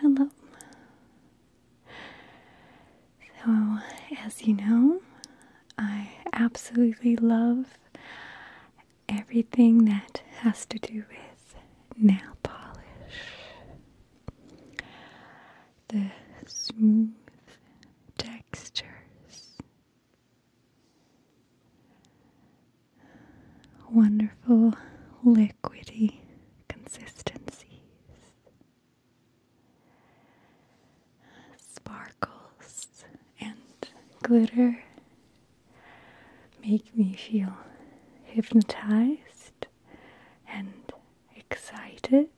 Hello. So, as you know, I absolutely love everything that has to do with nail polish. The smooth textures wonderful liquidy consistencies, sparkles, and glitter make me feel hypnotized and excited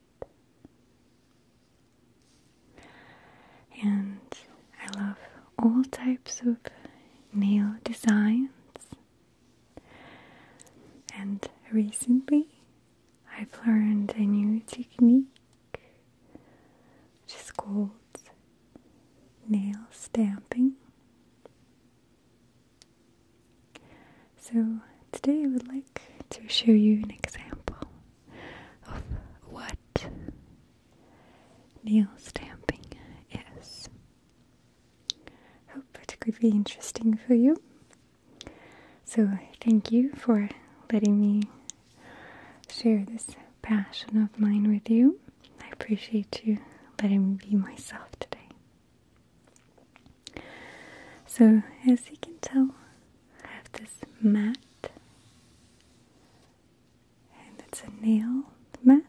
and I love all types of nail designs. And recently I've learned a new technique which is called nail stamping. So today I would like to show you an example of what Nail stamping yes. Hope it could be interesting for you. So, thank you for letting me share this passion of mine with you. I appreciate you letting me be myself today. So, as you can tell, I have this mat and it's a nail mat.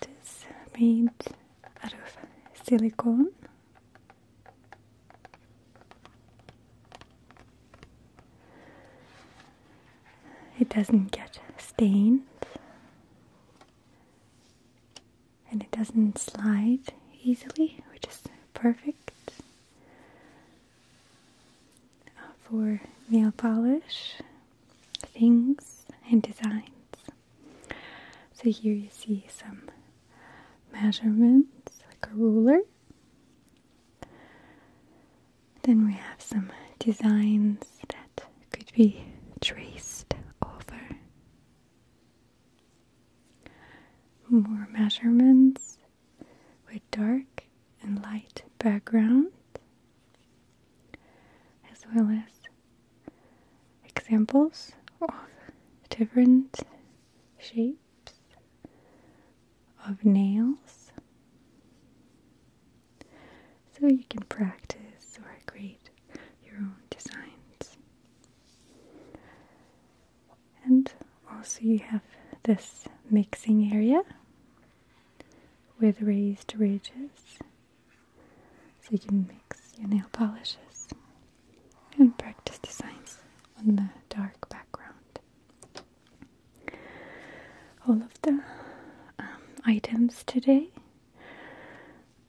It is made out of silicone. It doesn't get stained and it doesn't slide easily, which is perfect uh, for nail polish things and designs. So here you see some measurements, like a ruler. Then we have some designs that could be traced over more measurements with dark and light background, as well as examples of different shapes of nails. So you can practice or create your own designs. And also you have this mixing area with raised ridges so you can mix your nail polishes and practice designs on the dark background. All of the um, items today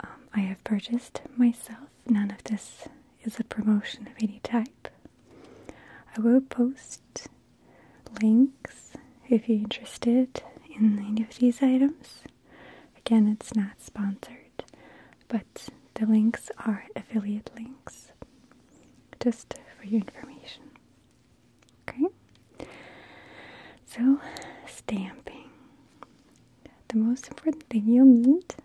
um, I have purchased myself. None of this is a promotion of any type. I will post links if you're interested in any of these items. Again, it's not sponsored, but the links are affiliate links, just for your information. Okay? So, stamping. The most important thing you'll need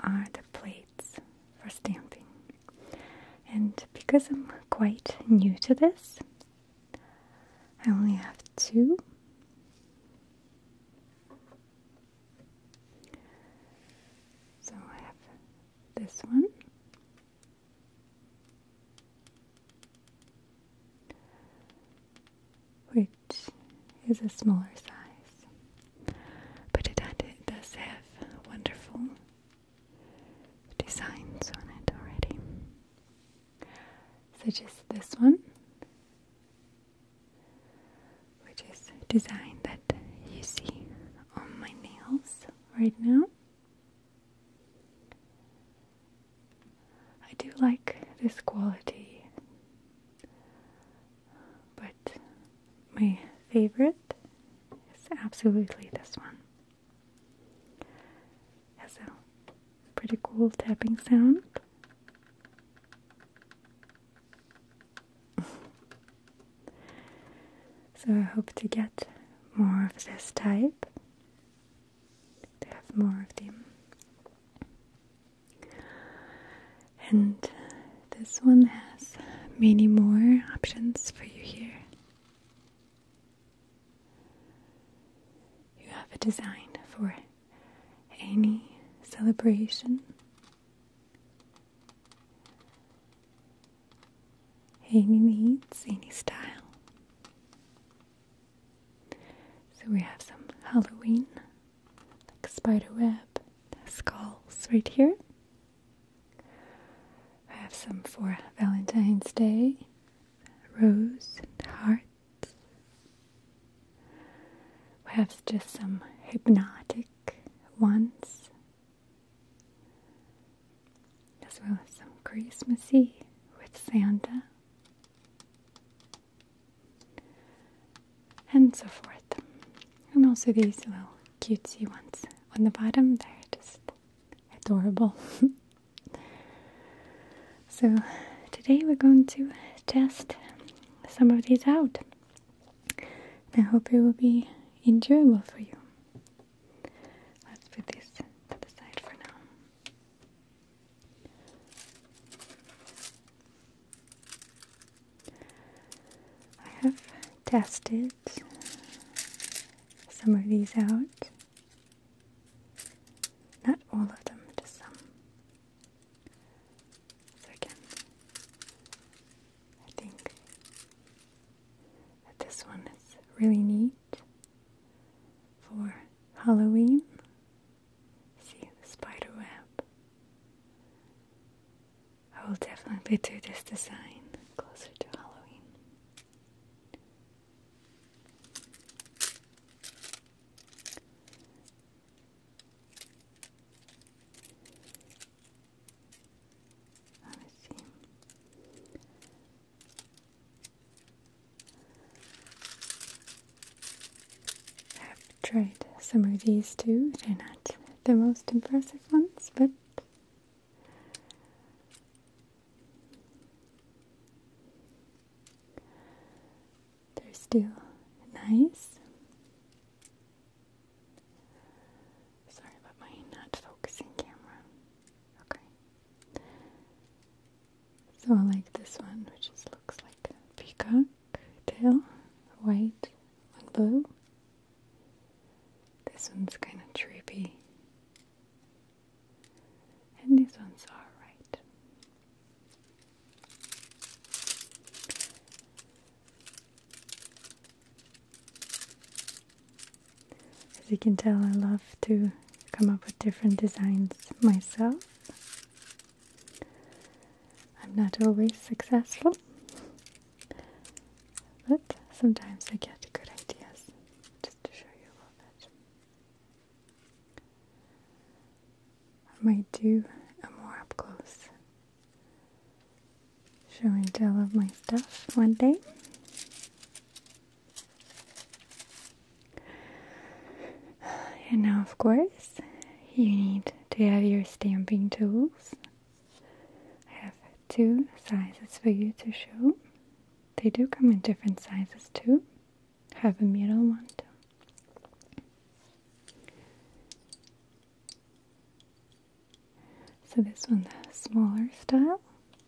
are the plates for stamping. And because I'm quite new to this, I only have two. So I have this one which is a smaller size, but it, does have wonderful designs on it already, such as this one, which is a design that you see on my nails right now. I do like this quality but my favorite is absolutely this one. It pretty cool tapping sound. so I hope to get more of this type, to have more of them and this one has many more options for you here. You have a design for any celebration, any needs, any style. So we have some Halloween like spider web skulls right here. I have some for Valentine's Day, rose and hearts. We have just some hypnotic ones, as well as some Christmassy with Santa and so forth. And also these little cutesy ones on the bottom, they're just adorable. so today we're going to test some of these out. I hope it will be enjoyable for you. Let's put this to the side for now. I have tested some of these out. Not all of them, just some. So again, I think that this one is really neat for Halloween See the spider web. I will definitely do this design closer to Halloween. Let me see. I've tried some of these too. They're not the most impressive ones, but they're still nice. Sorry about my not focusing camera. Okay. So I like this one, which just looks like a peacock tail, white and blue. This one's kind of trippy. And these ones are As you can tell, I love to come up with different designs myself. I'm not always successful, but sometimes I get good ideas just to show you a little bit. I might do a more up close show and tell of my stuff one day. And now, of course, you need do you have your stamping tools? I have two sizes for you to show. They do come in different sizes too. have a middle one too. So this one, the smaller style,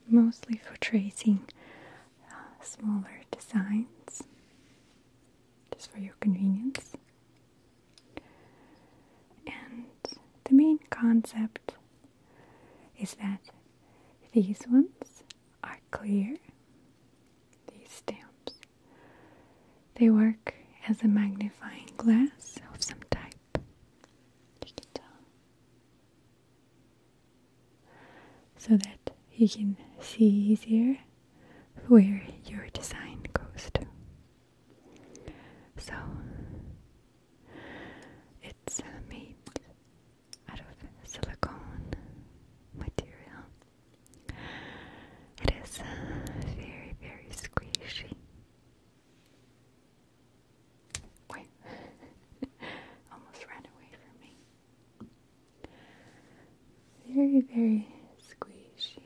mostly for tracing uh, smaller designs, just for your convenience. And the main concept is that these ones are clear, these stamps. They work as a magnifying glass of some type. You can tell. So that you can see easier where your design goes to. So it's made out of silicone material. It is very, very squishy. Wait, almost ran away from me very, very squishy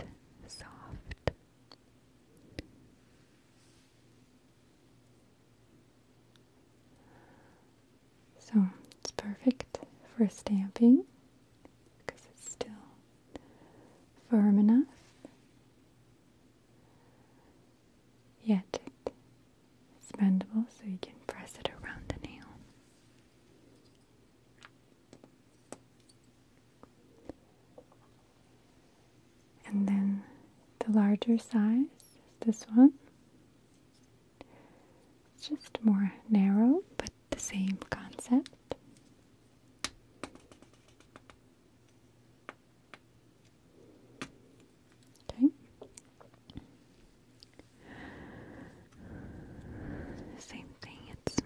and soft. So it's perfect for stamping because it's still firm enough. Yet it's bendable so you can press it around the nail. And then the larger size is this one. It's just more narrow, but the same concept. Okay. Same thing, it's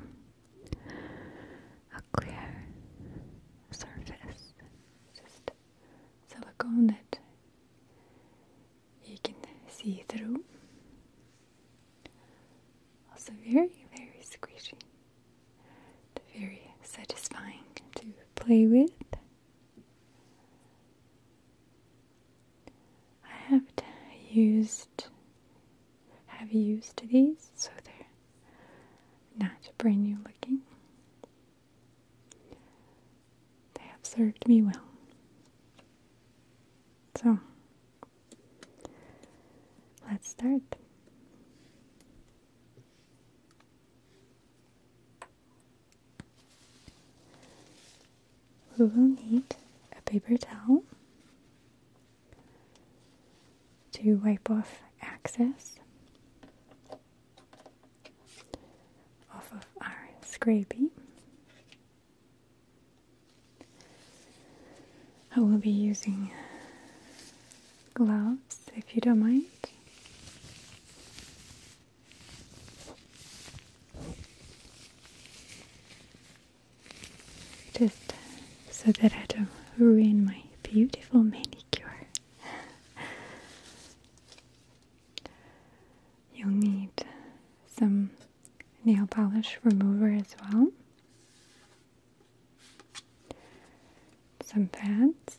a clear surface, just silicone that you can see through. Also, very, very squishy, very satisfying to play with. I have used have used these, so they're not brand new looking. They have served me well. So, let's start. We will need a paper towel, to wipe off excess off of our scrapie. I will be using gloves if you don't mind. Just uh, so that I don't ruin my beautiful manicure. You'll need some nail polish remover as well, some pads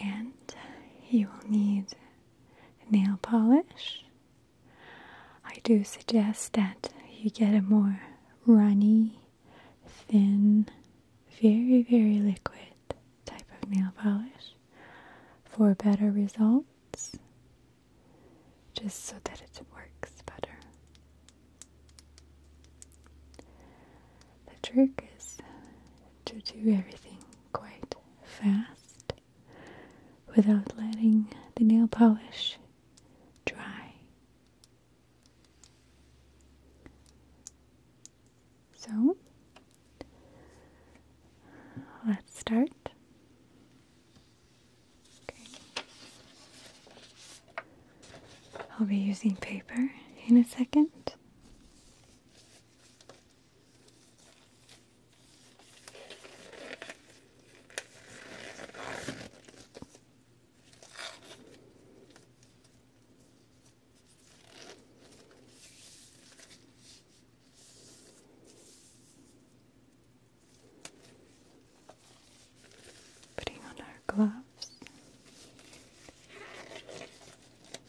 and you will need nail polish. I do suggest that you get a more runny, thin, very, very liquid type of nail polish for better results, just so that it works better. The trick is to do everything quite fast without letting the nail polish dry. So let's start. I'll be using paper in a second. Putting on our gloves.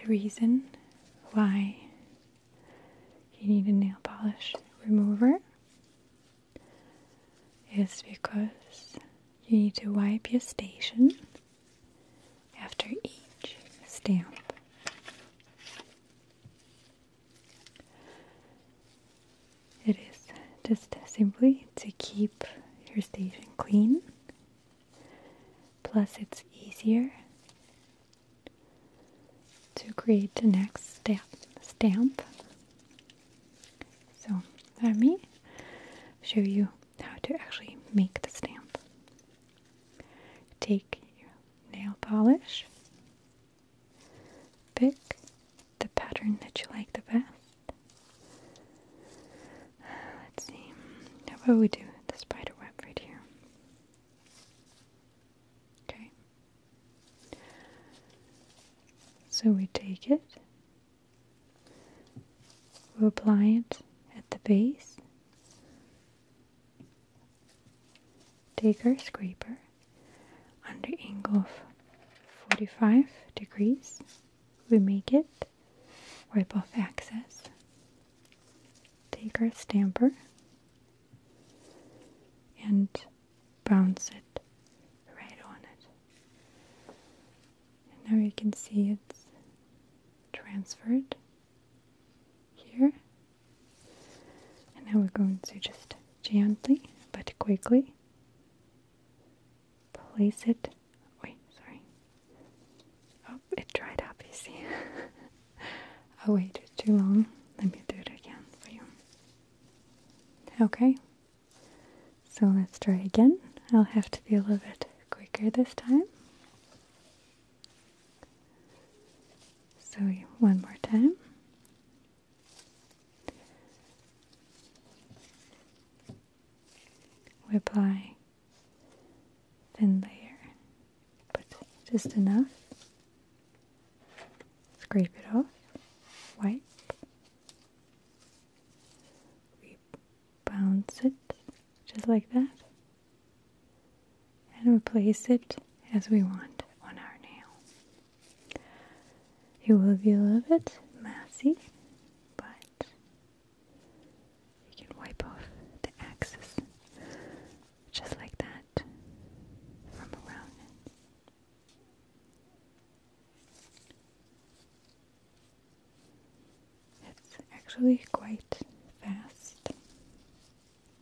the reason why you need a nail polish remover is because you need to wipe your station after each stamp. It is just simply to keep your station clean Plus, it's easier to create the next step, stamp. So, let me show you how to actually make the stamp. Take your nail polish, pick the pattern that you like the best. Uh, let's see. How about we do the spider web right here? Okay. So we take it, we apply it at the base, take our scraper under angle of 45 degrees, we make it wipe off excess. take our stamper and bounce it right on it. And now you can see it's transferred here. And now we're going to just gently but quickly place it. Wait, sorry. Oh, it dried up, you see. Oh, wait, it's too long. Let me do it again for you. Okay. So let's try again. I'll have to be a little bit quicker this time. So one more time. We apply thin layer, but just enough. Scrape it off, wipe, we bounce it just like that, and replace it as we want on our nail. It will be a little bit messy, but you can wipe off the axis just like that from around It's actually quite fast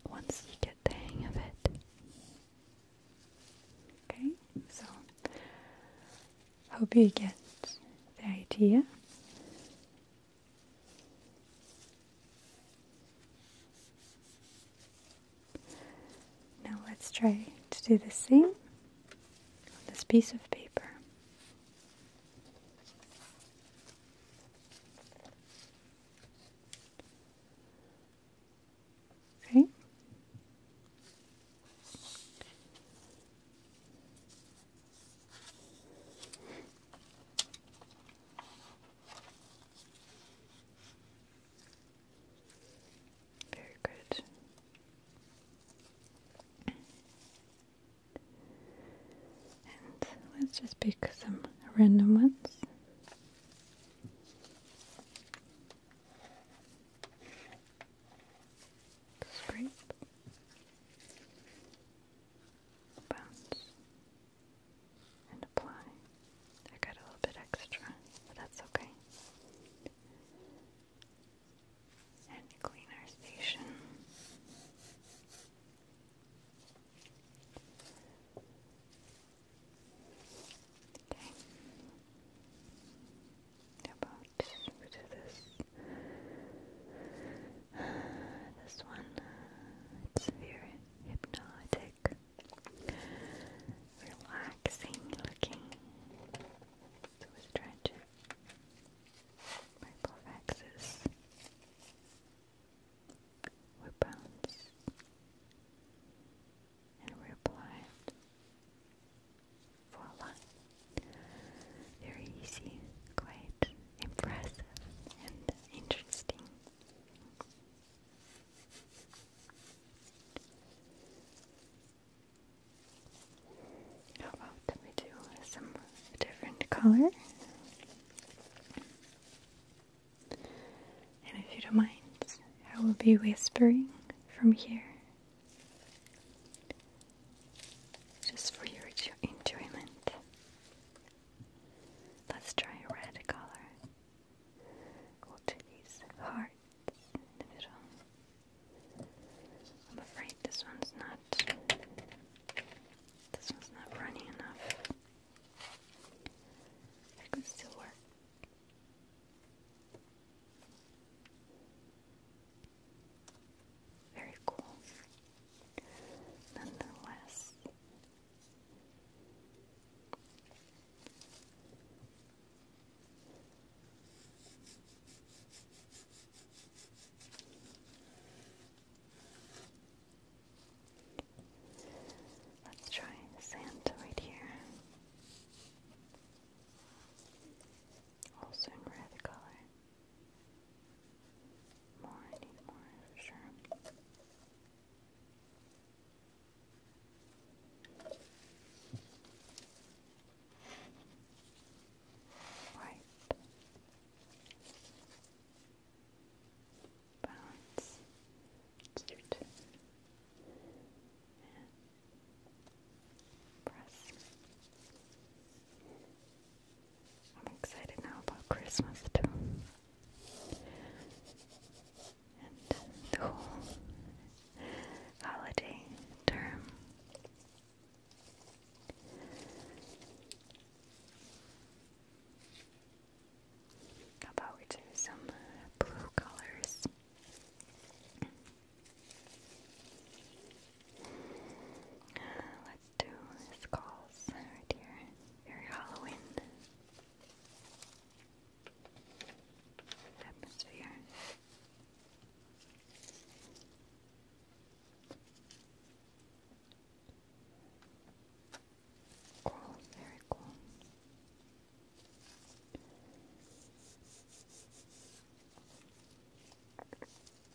once you get the hang of it. Okay, so Hope you get the idea. Now let's try to do the same on this piece of paper. Okay. Very good. let's just pick some random ones. Scrape. Bounce. And apply. I got a little bit extra, but that's okay. And clean our station. Okay about this this one uh, it's very hypnotic relaxing looking so stretch purple axis we bounce and we apply for a line. Very easy, quite impressive and interesting. How about we do some different color? And if you don't mind, I will be whispering from here just for your enjoyment. Let's try a red color. Go to these hearts I'm afraid this one's not. This one's not running enough. could still work. Very cool. Nonetheless. Let's try the right here. Also in red color. More, I need more for sure. Right. Balance. Let's do two. And I'm excited now about Christmas too. And the whole holiday term. How about we do some blue colors? Let's do skulls right here. Very Halloween atmosphere. Cool, very cool.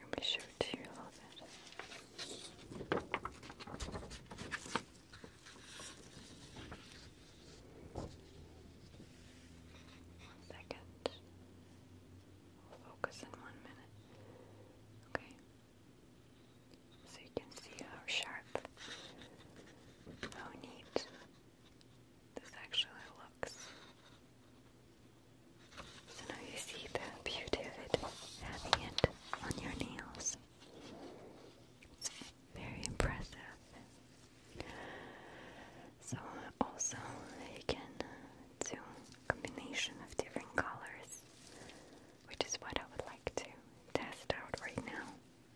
I'll be sure to you a little bit. One focus in one minute. Okay. So you can see how sharp, how neat this actually looks. So now you see the beauty of it, having it on your nails. very impressive. So also you can do combination of different colors which is what I would like to test out right now.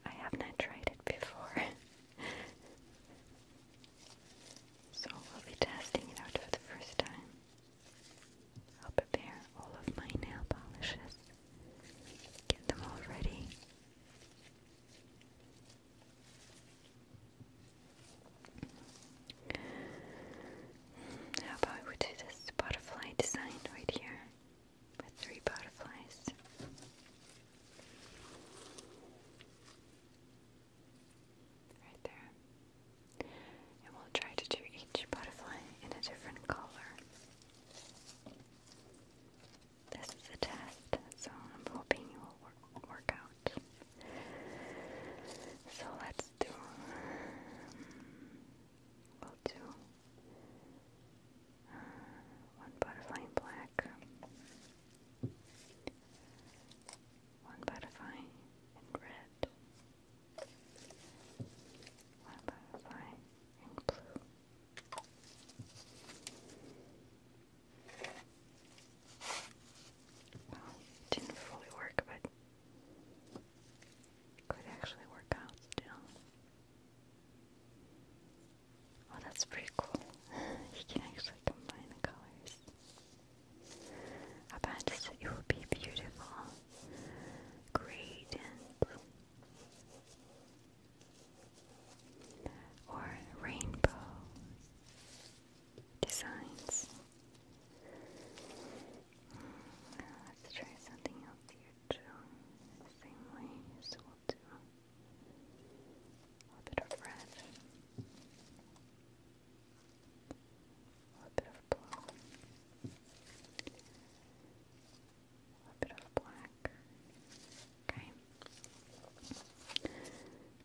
I have not tried it before. so we'll be testing it out for the first time. I'll prepare all of my nail polishes, get them all ready. How about we do this butterfly design right here? with three butterflies. Right there. And we'll try to do each butterfly in a different color. This is a test, so I'm hoping you will work, out. So let's do. Um, we'll do one butterfly in black. One butterfly in red. One butterfly in blue. didn't fully work, but could actually work out still. Oh, that's pretty cool. you can actually combine the colors. I bet it would be beautiful. Great Or rainbow designs. Hmm, let's try something else here chilling the same way, so we'll do a bit of red, a bit of blue, a bit of black. Okay.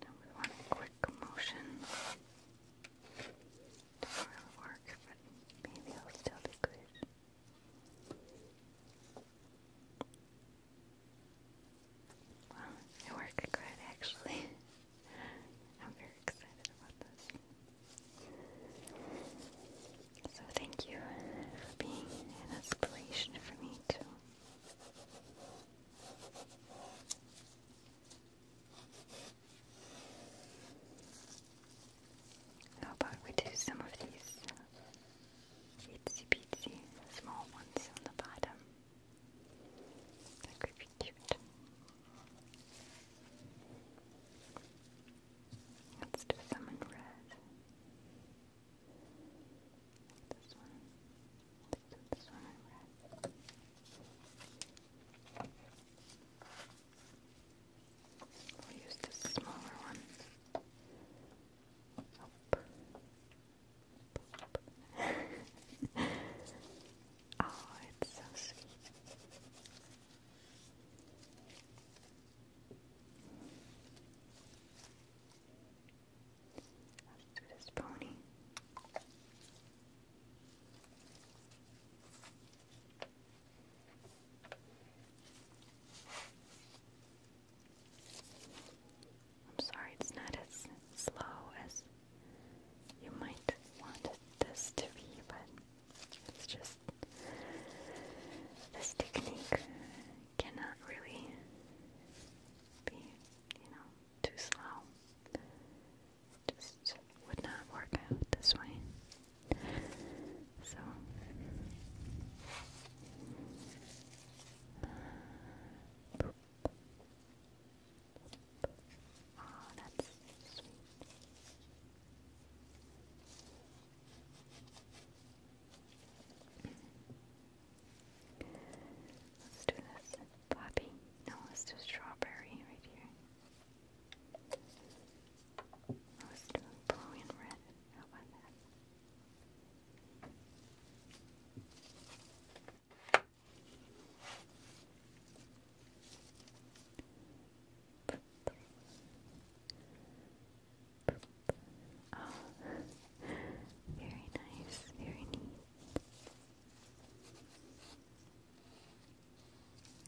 Now we want quick motion. Doesn't work, maybe it'll still be good. Well, it worked good actually. I'm very excited about this. So thank you for being an inspiration for me too. How about we do some of these itsy bitsy small ones on the bottom? That could be cute. Let's do some in red. This one. Let's do this one in red. I'll use this smaller one. Oop. Oop. oh, it's so sweet. Let's do this pony. I'm sorry, it's not as slow as you might want this to be, but it's just this technique cannot really be, you know, too slow. just would not work out this way. So Boop. Oh, that's sweet. Let's do this. Poppy. No, let's do strawberry right here. I was doing blue and red. How about that? Oh, very nice, very neat.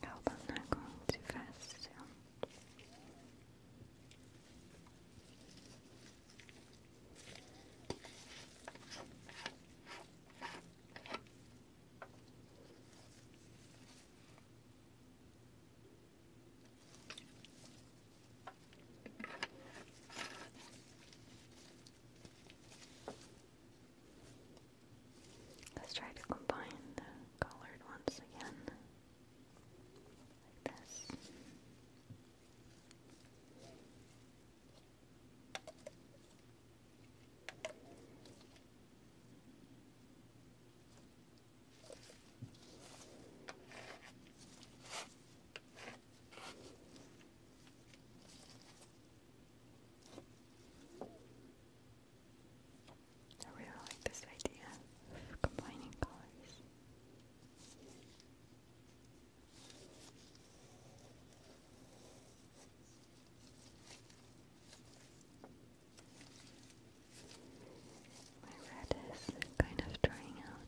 I hope I'm not going too fast still. Let's try to combine the colored ones again. Like this. I really like this idea of combining colors. My red is kind of drying out.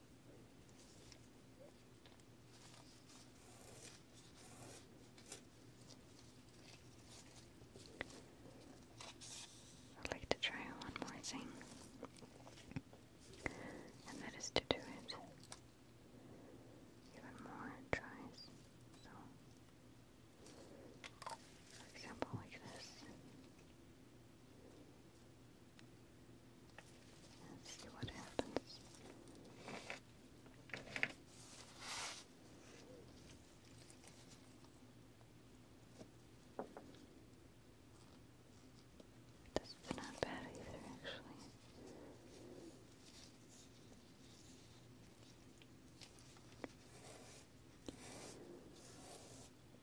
I'd like to try one more thing, and that is to do it even more tries. So, for example, like this. Let's see what happens. This not bad either, actually.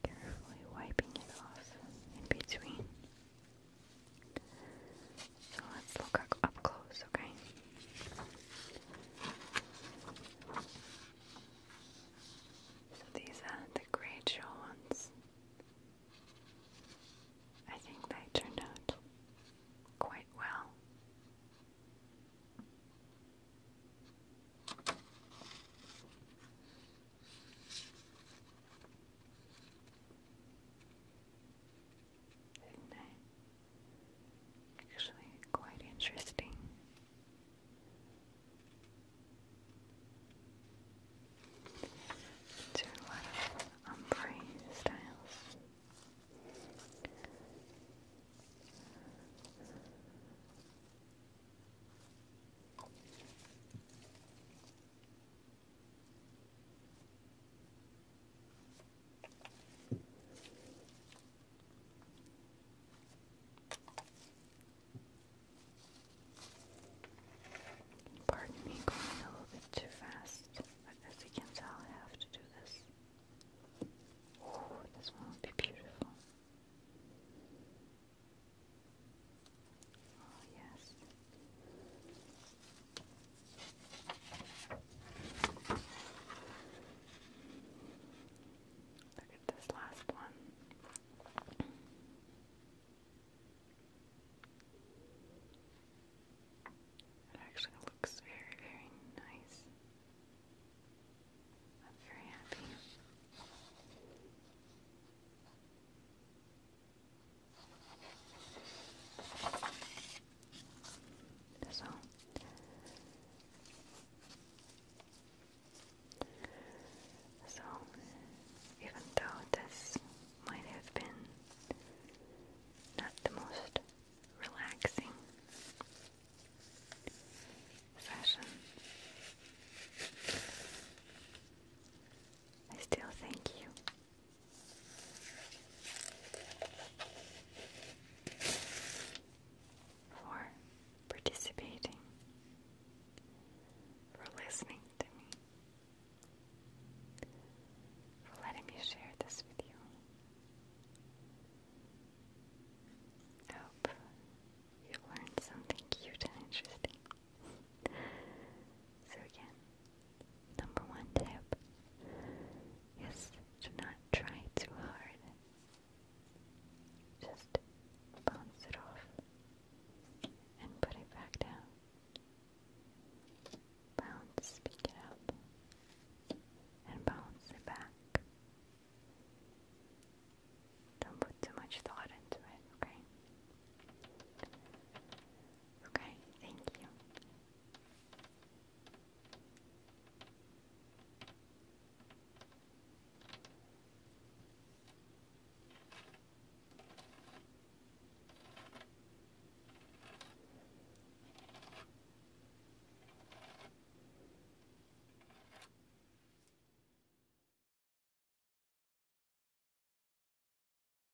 Carefully wiping it off in between. So let's look up close, okay? So these are the great ones. I think they turned out quite well. Isn't Actually, quite interesting. Do a lot of styles. Pardon me going a little bit too fast, but as you can tell, I have to do this. Oh, this one will be beautiful. Oh, yes. Look at this last one. It actually looks very, very nice. I'm very happy. So so even though this might have been not the most relaxing session, I still thank you for participating, for listening to me, for letting me share this with you. hope you learned something cute and interesting. so again, Number one tip is do not try too hard. Just bounce it off and put it back down. Bounce, pick it up, and bounce it back. Don't put too much thought into it, okay? Okay, thank you.